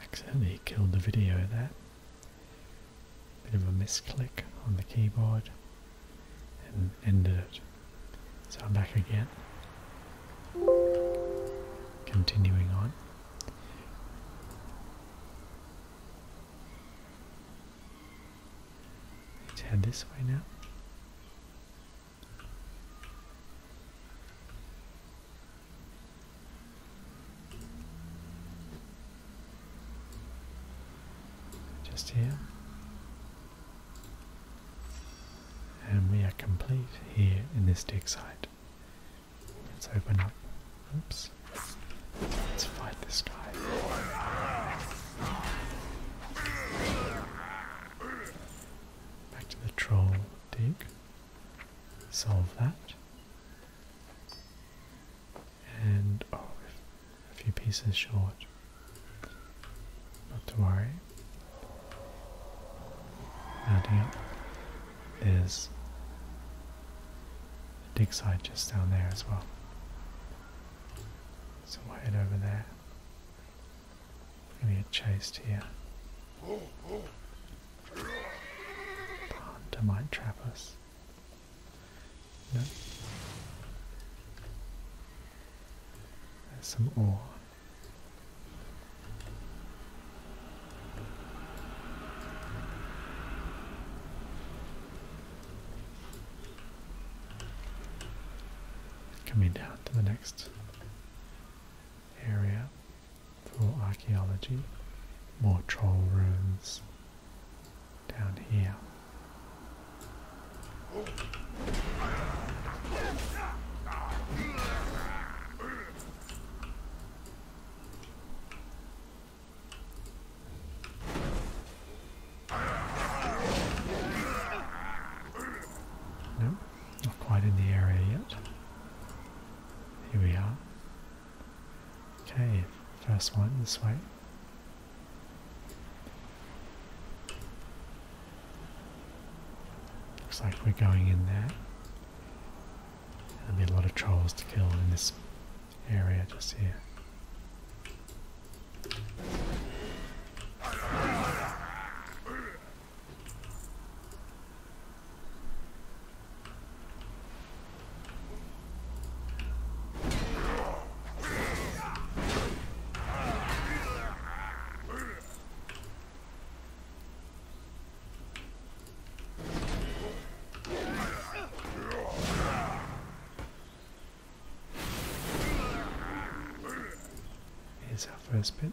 Accidentally killed the video there. Bit of a misclick on the keyboard and ended it. So I'm back again. Continuing on. Let's head this way now. Just here. And we are complete here in this dig site. Let's open up. Oops. Let's fight this guy. Back to the troll dig solve that. And oh, a few pieces short. Not to worry. Mounting up. There's a dig site just down there as well. So we head over there. Gonna chased here. The hunter might trap us. No. There's some ore. Coming down to the next area for archaeology. More troll ruins down here. No, not quite in the area yet. Here we are. Okay, first one this way. Looks like we're going in there. There'll be a lot of trolls to kill in this area just here. Here's our first bit.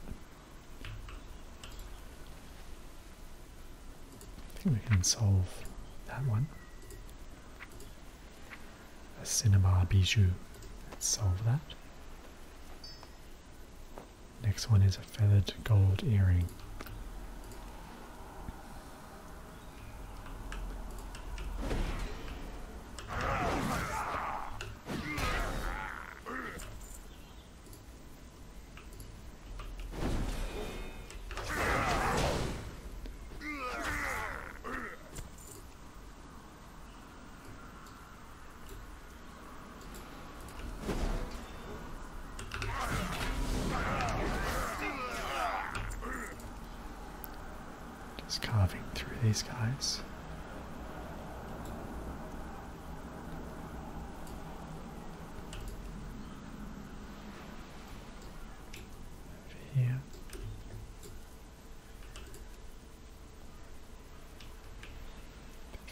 I think we can solve that one. A cinnabar bijou. Let's solve that. Next one is a feathered gold earring. Just carving through these guys here.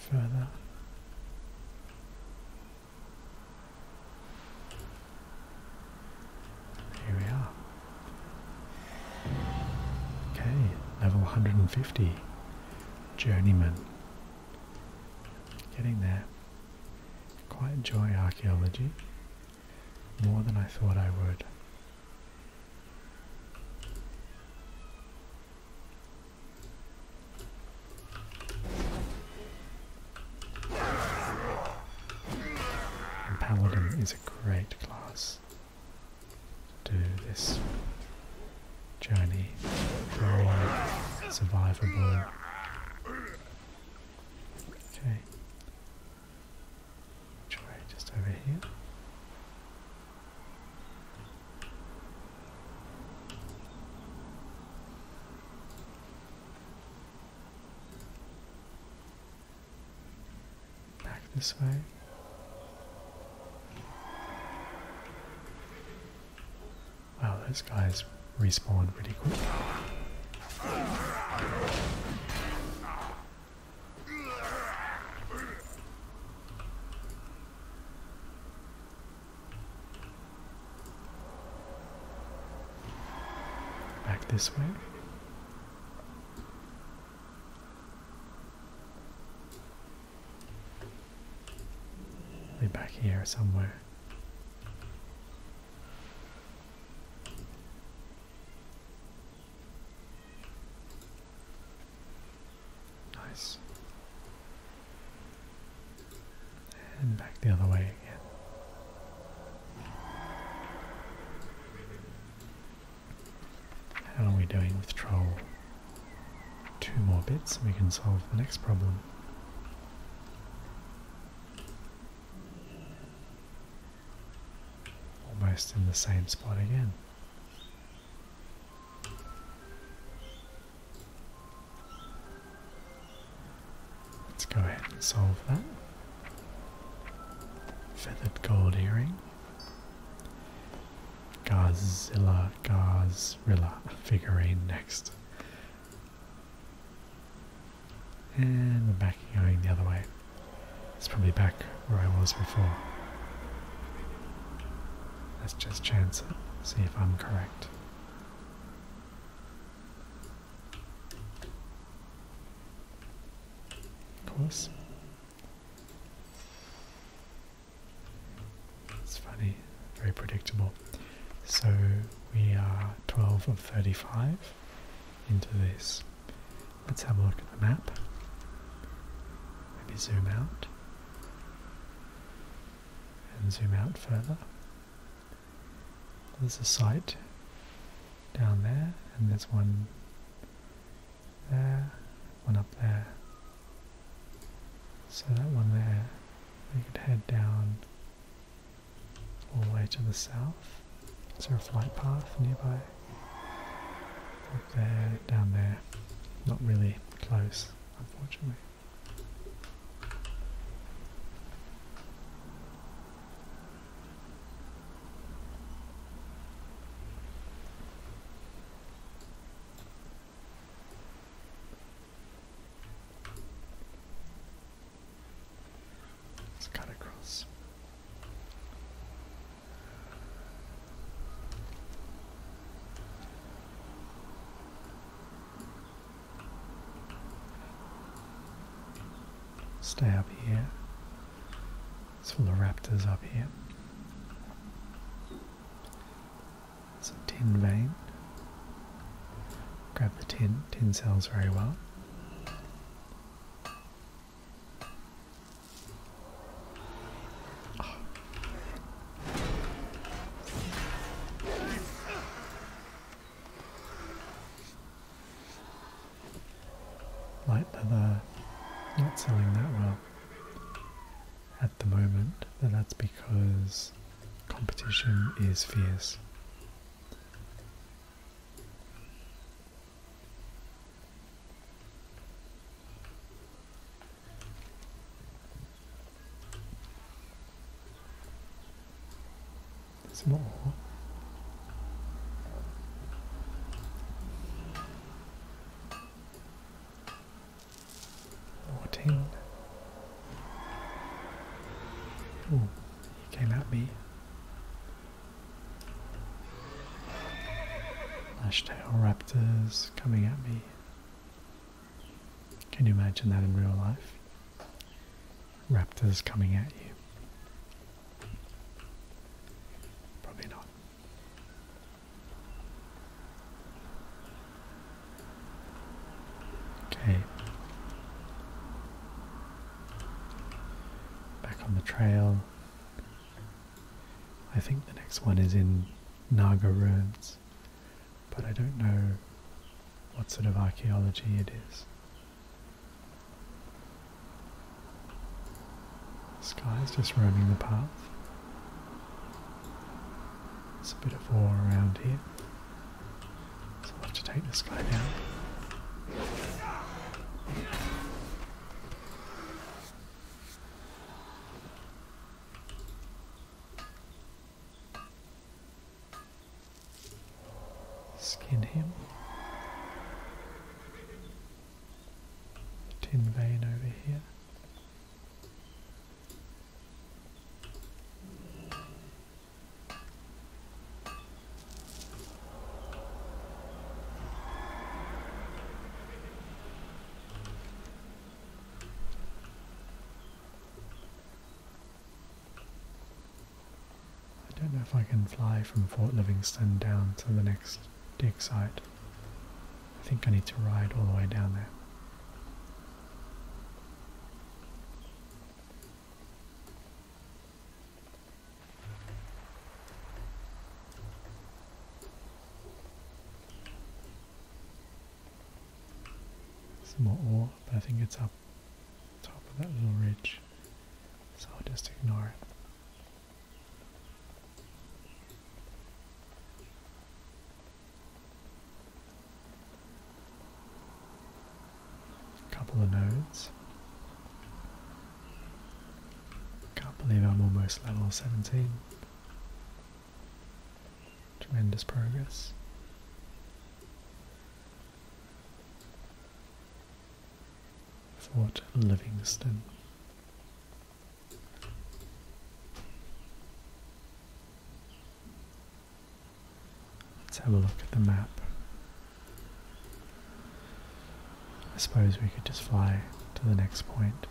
further. Here we are. Okay, level 150. Journeyman. Getting there. Quite enjoy archaeology. More than I thought I would. Paladin is a great class do this journey very survivable. Okay. Try just over here. Back this way. Wow, those guys respawn pretty quick. Back this way they back here somewhere. Nice. And back the other way again. How are we doing with troll? two more bits and we can solve the next problem. Almost in the same spot again. Let's go ahead and solve that. Feathered gold earring. Gazilla, Godzilla figurine next. And we're back going the other way. It's probably back where I was before. Let's just chance see if I'm correct. Of course. It's funny, very predictable. So we are 12 of 35 into this. Let's have a look at the map. Maybe zoom out. And zoom out further. There's a site down there, and there's one there, one up there, so that one there, we could head down all the way to the south. Is there a flight path nearby? Up there, down there. Not really close, unfortunately. Let's cut across. Stay up here. It's full of raptors up here. It's a tin vein. Grab the tin. Tin sells very well. Light leather, uh, not selling that well at the moment, but that's because competition is fierce. Some more. Fourteen. Oh, he came at me. Lashtail raptors coming at me. Can you imagine that in real life? Raptors coming at you. Probably not. Okay. Back on the trail. I think the next one is in Naga ruins, but I don't know what sort of archaeology it is. Sky's just roaming the path. There's a bit of ore around here. So I'll have to take this guy down. Skin him. Tin vein over here. I don't know if I can fly from Fort Livingston down to the next dig site. I think I need to ride all the way down there. Some more ore, but I think it's up top of that little ridge, so I'll just ignore it. Couple of nodes. Can't believe I'm almost level 17. Tremendous progress. Fort Livingston. Let's have a look at the map. I suppose we could just fly to the next point.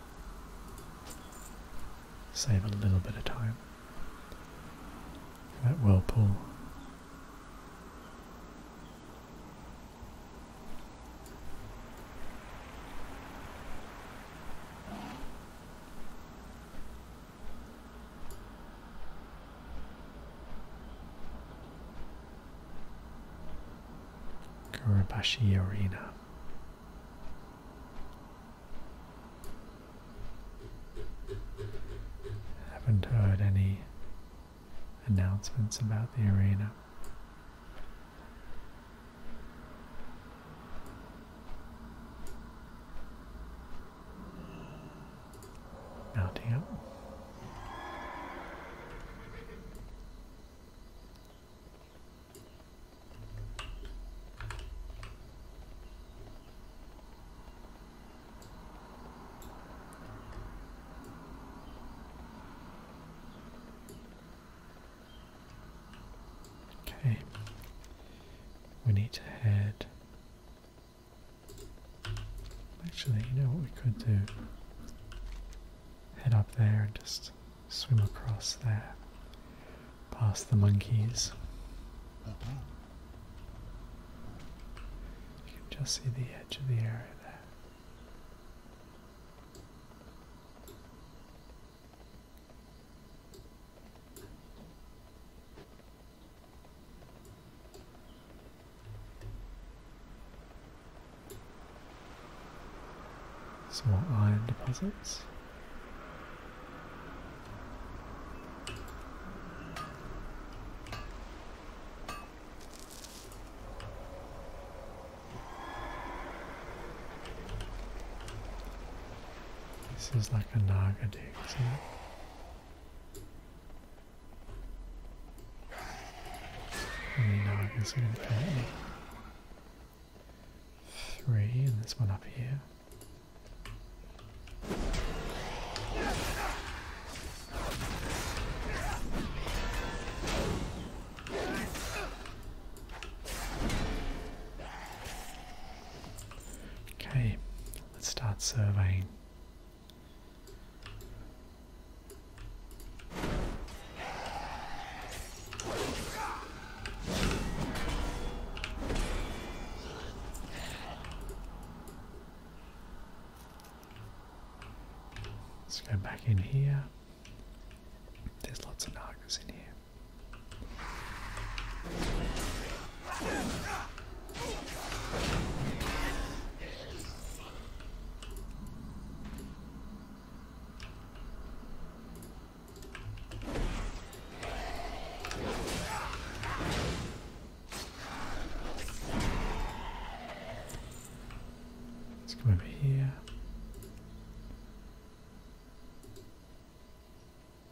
Save a little bit of time. That pull. Kurabashi Arena. Haven't heard any announcements about the arena. Oh up. Okay. We need to head. Actually, you know what we could do? Head up there and just swim across there, past the monkeys. You can just see the edge of the area there. Some more iron deposits. This is like a Naga dig, isn't it? How many going to paint Three, and there's one up here. Okay, let's start surveying. Let's go back in here. There's lots of Nagas in here. Let's come over here.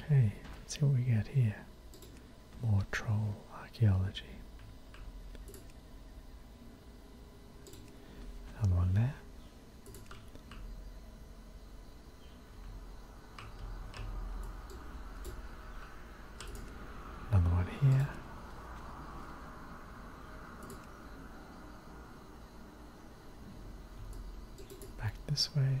Okay, let's see what we get here. More troll archaeology. Another one there. Another one here. Back this way.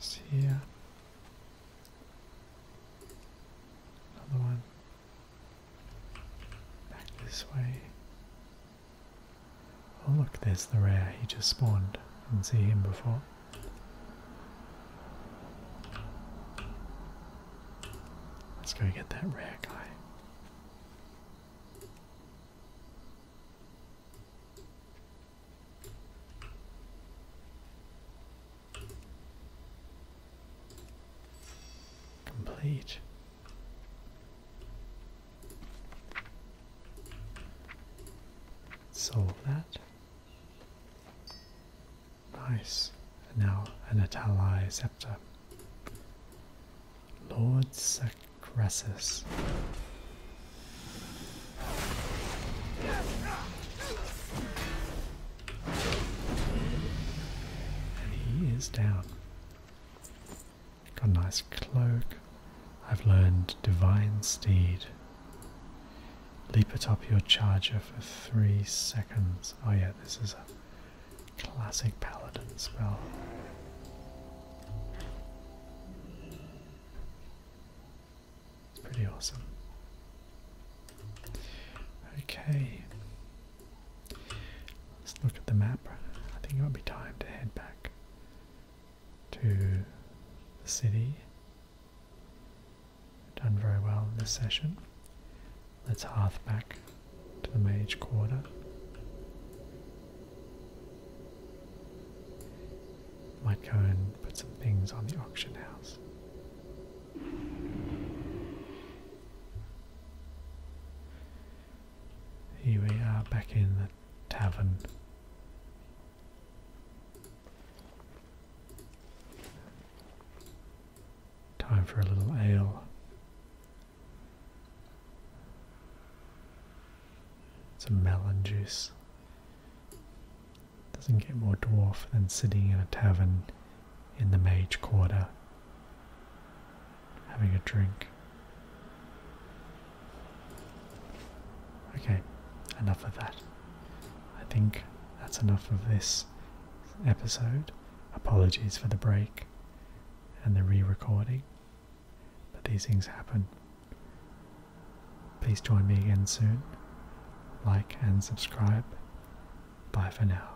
See ya. Another one. Back this way. Oh look, there's the rare he just spawned. Didn't see him before. Let's go get that rare guy. Complete. Solve that. Nice. And now an Atali scepter. Lord Sacressus. And he is down. Got a nice cloak. I've learned Divine Steed. Leap atop your charger for three seconds. Oh, yeah, this is a classic paladin spell. It's pretty awesome. Okay, Let's look at the map. I think it might be time to head back to the city. Done very well in this session. Let's hark back to the mage quarter. Might go and put some things on the auction house. Here we are back in the tavern. Time for a little ale. Some melon juice. Doesn't get more dwarf than sitting in a tavern in the mage quarter having a drink. Okay, enough of that. I think that's enough of this episode. Apologies for the break and the re recording, but these things happen. Please join me again soon. Like and subscribe. Bye for now.